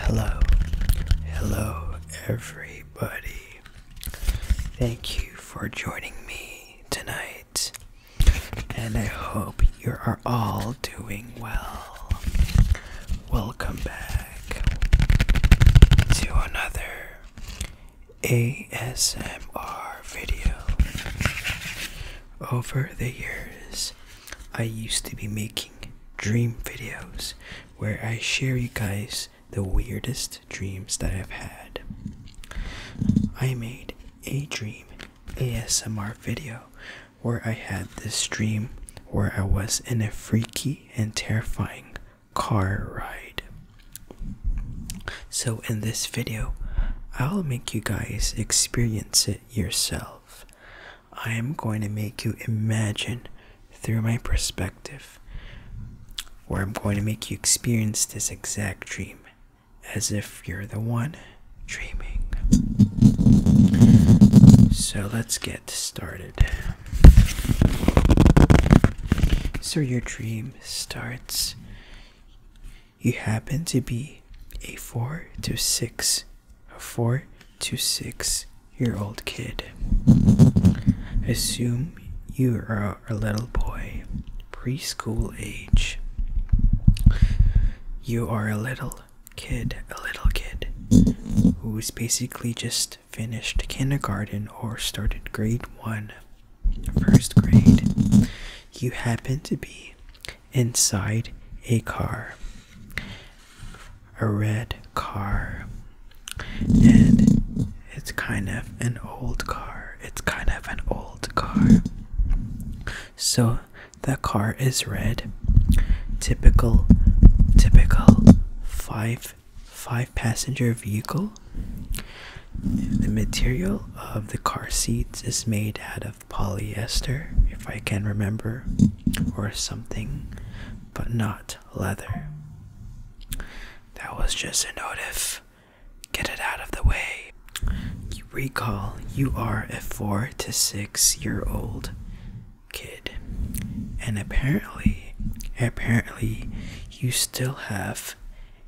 Hello, hello, everybody. Thank you for joining me tonight, and I hope you are all doing well. Welcome back to another ASMR video. Over the years, I used to be making dream videos where I share you guys the weirdest dreams that I've had. I made a dream ASMR video where I had this dream where I was in a freaky and terrifying car ride. So, in this video, I'll make you guys experience it yourself. I am going to make you imagine through my perspective, where I'm going to make you experience this exact dream as if you're the one dreaming. So, let's get started. So, your dream starts you happen to be a four to six, a four to six year old kid. Assume you are a little boy, preschool age. You are a little kid, a little kid who's basically just finished kindergarten or started grade one, first grade. You happen to be inside a car. A red car. And it's kind of an old car. It's kind of an old car. So the car is red. Typical typical five five passenger vehicle. The material of the car seats is made out of polyester, if I can remember, or something, but not leather. That was just a note notif. Get it out of the way. You recall you are a four to six year old kid, and apparently, apparently, you still have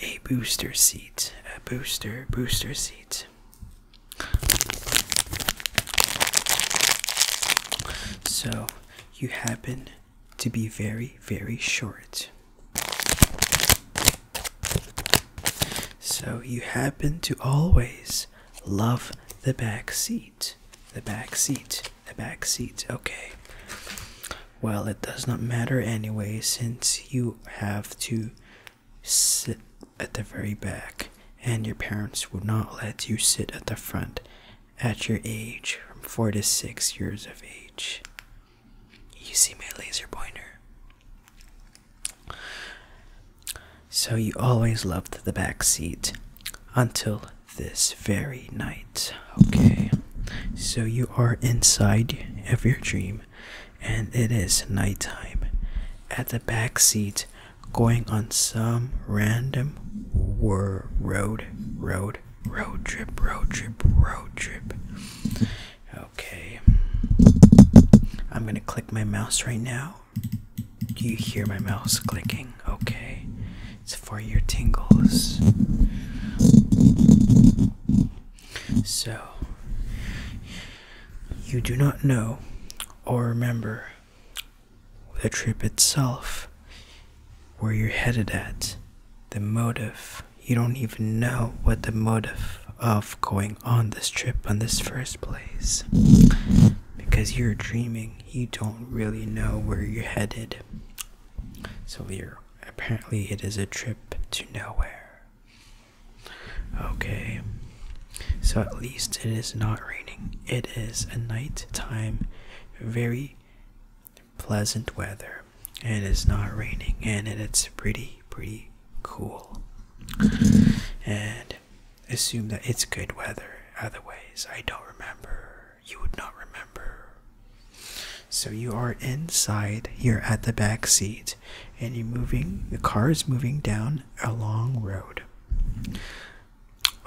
a booster seat, a booster, booster seat so you happen to be very, very short. So you happen to always love the back seat. The back seat. The back seat. Okay. Well, it does not matter anyway since you have to sit at the very back, and your parents would not let you sit at the front at your age from four to six years of age. You see my laser pointer. So you always loved the back seat until this very night. Okay, so you are inside of your dream and it is nighttime. At the back seat, going on some random road, road, road trip, road trip, road trip. Okay, I'm gonna click my mouse right now. Do you hear my mouse clicking? Okay, it's for your tingles. So, you do not know or remember the trip itself, where you're headed at, the motive. You don't even know what the motive of going on this trip on this first place because you're dreaming you don't really know where you're headed so you're apparently it is a trip to nowhere Okay, so at least it is not raining. It is a night time, very pleasant weather, and it is not raining, and it's pretty, pretty cool. And assume that it's good weather, otherwise, I don't remember. You would not remember. So you are inside You're at the back seat and you're moving the car is moving down a long road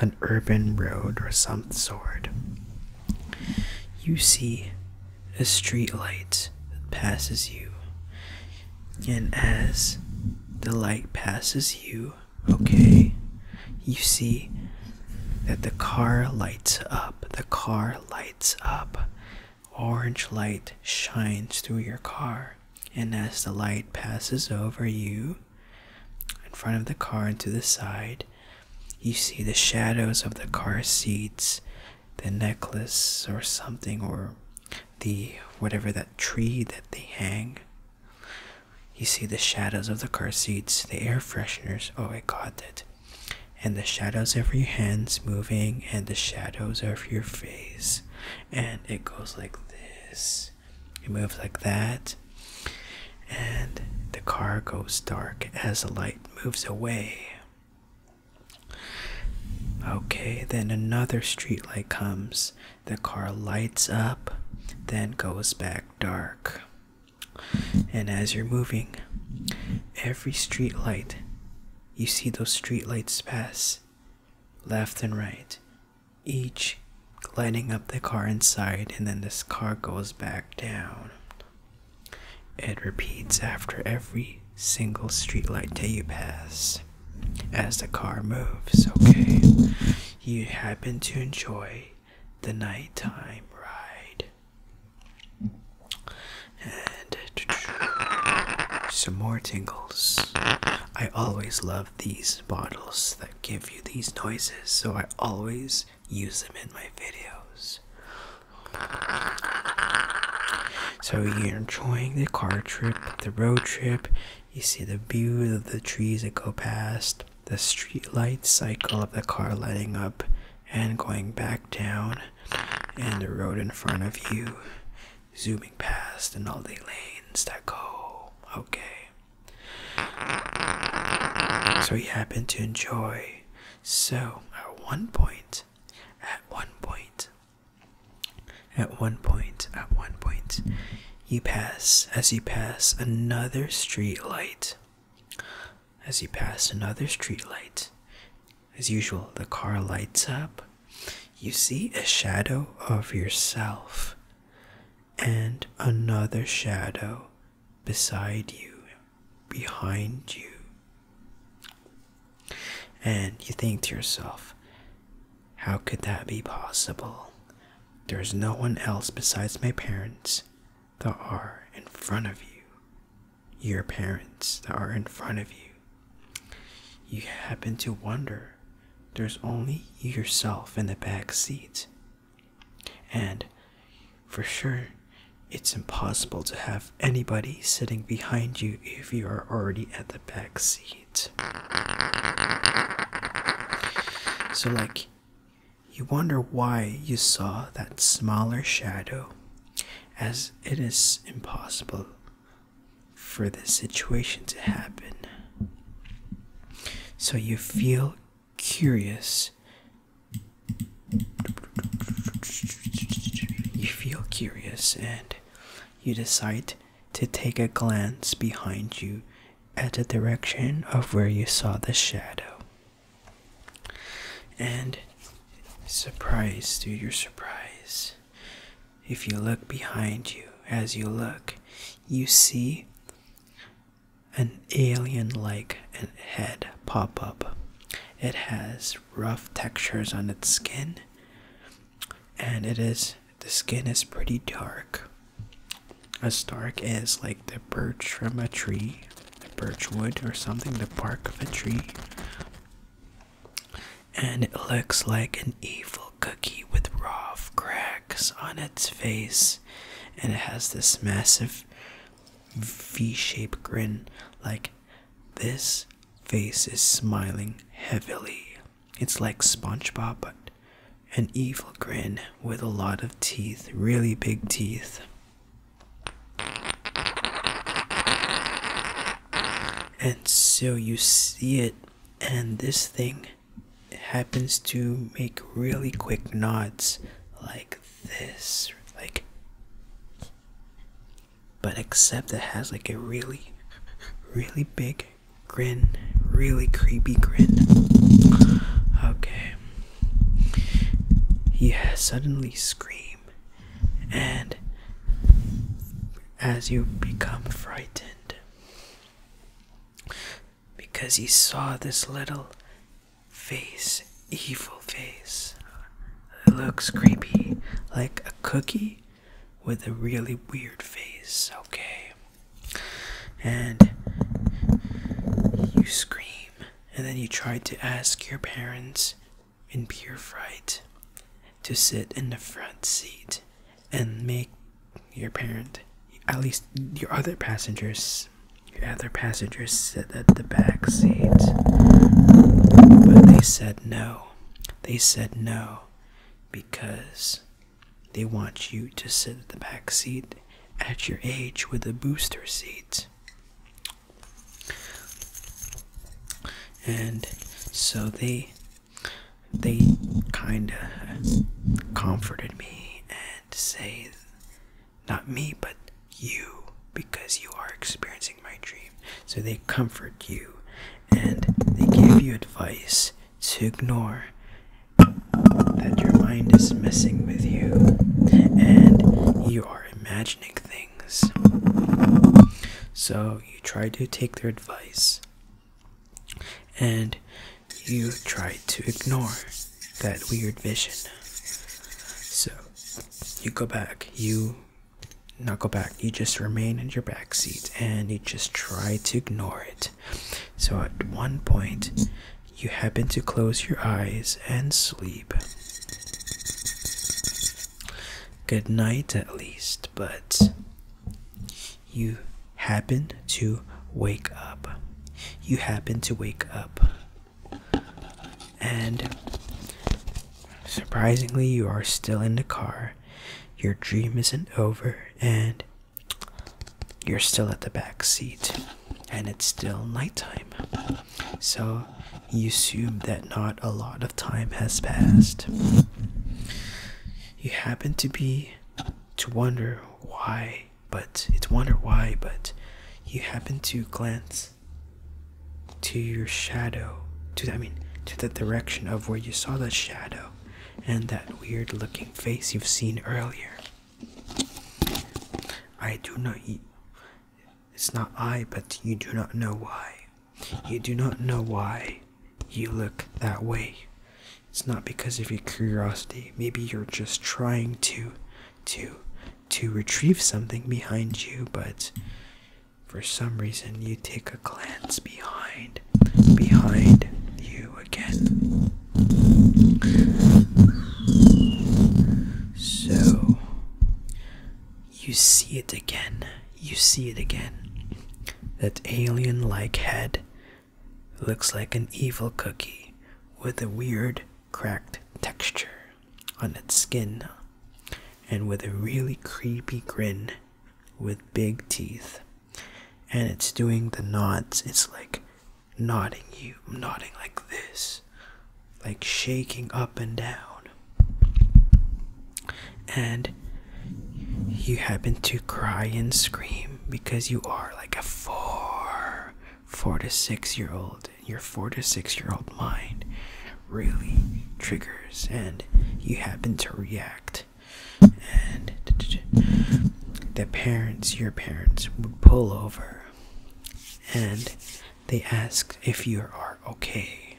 an urban road or some sort you see a street light that passes you and as the light passes you okay you see that the car lights up the car lights up orange light shines through your car, and as the light passes over you, in front of the car and to the side, you see the shadows of the car seats, the necklace or something, or the whatever that tree that they hang. You see the shadows of the car seats, the air fresheners. Oh, I got that, And the shadows of your hands moving, and the shadows of your face and it goes like this it moves like that and the car goes dark as the light moves away okay then another street light comes the car lights up then goes back dark and as you're moving every street light you see those street lights pass left and right, each lighting up the car inside, and then this car goes back down. It repeats after every single streetlight that you pass as the car moves. Okay, you happen to enjoy the nighttime ride. And some more tingles. I always love these bottles that give you these noises, so I always use them in my videos. So you're enjoying the car trip, the road trip, you see the view of the trees that go past, the street light cycle of the car lighting up and going back down, and the road in front of you zooming past and all the lanes that go. Okay. So he happened to enjoy. So at one point, at one point, at one point, at one point, you pass as you pass another street light. As you pass another street light, as usual, the car lights up. You see a shadow of yourself and another shadow beside you, behind you. And you think to yourself, how could that be possible? There's no one else besides my parents There are in front of you. Your parents that are in front of you. You happen to wonder there's only yourself in the back seat. And for sure, it's impossible to have anybody sitting behind you if you are already at the back seat. So, like, you wonder why you saw that smaller shadow, as it is impossible for this situation to happen. So you feel curious. You feel curious and you decide to take a glance behind you at the direction of where you saw the shadow. And surprise to your surprise, if you look behind you as you look, you see an alien like head pop up. It has rough textures on its skin, and it is the skin is pretty dark. As dark as like the birch from a tree, the birch wood or something, the bark of a tree and it looks like an evil cookie with rough cracks on its face, and it has this massive V-shaped grin, like this face is smiling heavily. It's like SpongeBob, but an evil grin with a lot of teeth, really big teeth and so you see it and this thing happens to make really quick nods like this like but except it has like a really really big grin really creepy grin okay he has suddenly scream and as you become frightened because he saw this little face, evil face. looks creepy, like a cookie with a really weird face, okay? And you scream, and then you try to ask your parents in pure fright to sit in the front seat and make your parent at least your other passengers your other passengers sit at the back seat but they said no they said no because they want you to sit at the back seat at your age with a booster seat and so they they kind of comforted me and say not me but you because you are experiencing my dream so they comfort you and they give you advice to ignore that your mind is messing with you and you are imagining things so you try to take their advice and you try to ignore that weird vision. So you go back, you not go back, you just remain in your back seat and you just try to ignore it. So at one point, you happen to close your eyes and sleep good night at least, but you happen to wake up. You happen to wake up. And surprisingly, you are still in the car. Your dream isn't over, and you're still at the back seat, and it's still nighttime. So you assume that not a lot of time has passed. You happen to be to wonder why, but it's wonder why, but you happen to glance to your shadow, to I mean, to the direction of where you saw the shadow and that weird looking face you've seen earlier. I do not. It's not I, but you do not know why. You do not know why you look that way. It's not because of your curiosity. Maybe you're just trying to to to retrieve something behind you, but for some reason you take a glance behind behind you again. So you see it again. You see it again. That alien like head looks like an evil cookie with a weird cracked texture on its skin and with a really creepy grin with big teeth. And it's doing the nods. It's like nodding you, nodding like this, like shaking up and down and you happen to cry and scream because you are like a four four to six year old your four to six year old mind really triggers and you happen to react and the parents your parents would pull over and they ask if you are okay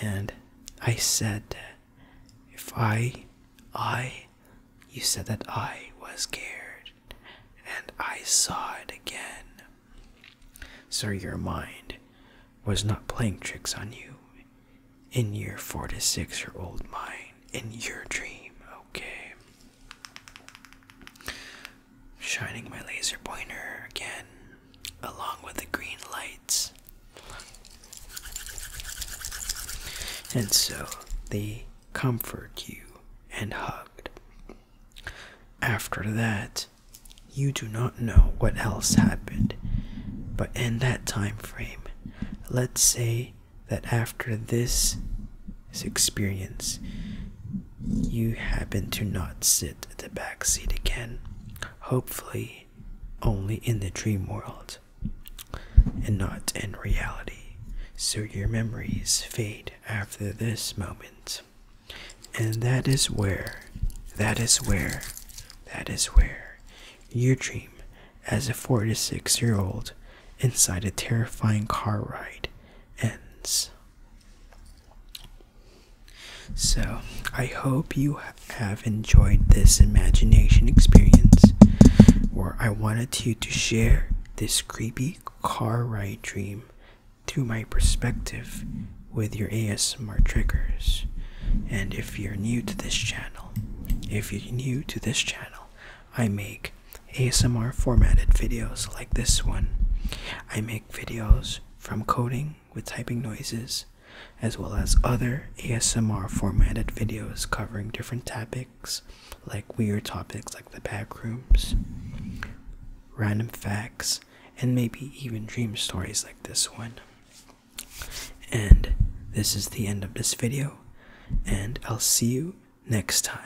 and I said, if I, I, you said that I was scared, and I saw it again. Sir, your mind was not playing tricks on you. In your four to six year old mind, in your dream, okay. Shining my laser pointer again along with the green lights. And so they comfort you and hugged. After that, you do not know what else happened, but in that time frame, let's say that after this experience, you happen to not sit at the back seat again. Hopefully, only in the dream world and not in reality. So your memories fade after this moment. And that is where, that is where, that is where your dream as a four to six year old inside a terrifying car ride ends. So, I hope you have enjoyed this imagination experience Or I wanted you to share this creepy car ride dream through my perspective with your ASMR triggers. And if you're new to this channel, if you're new to this channel, I make ASMR formatted videos like this one. I make videos from coding with typing noises, as well as other ASMR formatted videos covering different topics, like weird topics like the backrooms, random facts, and maybe even dream stories like this one. And this is the end of this video, and I'll see you next time.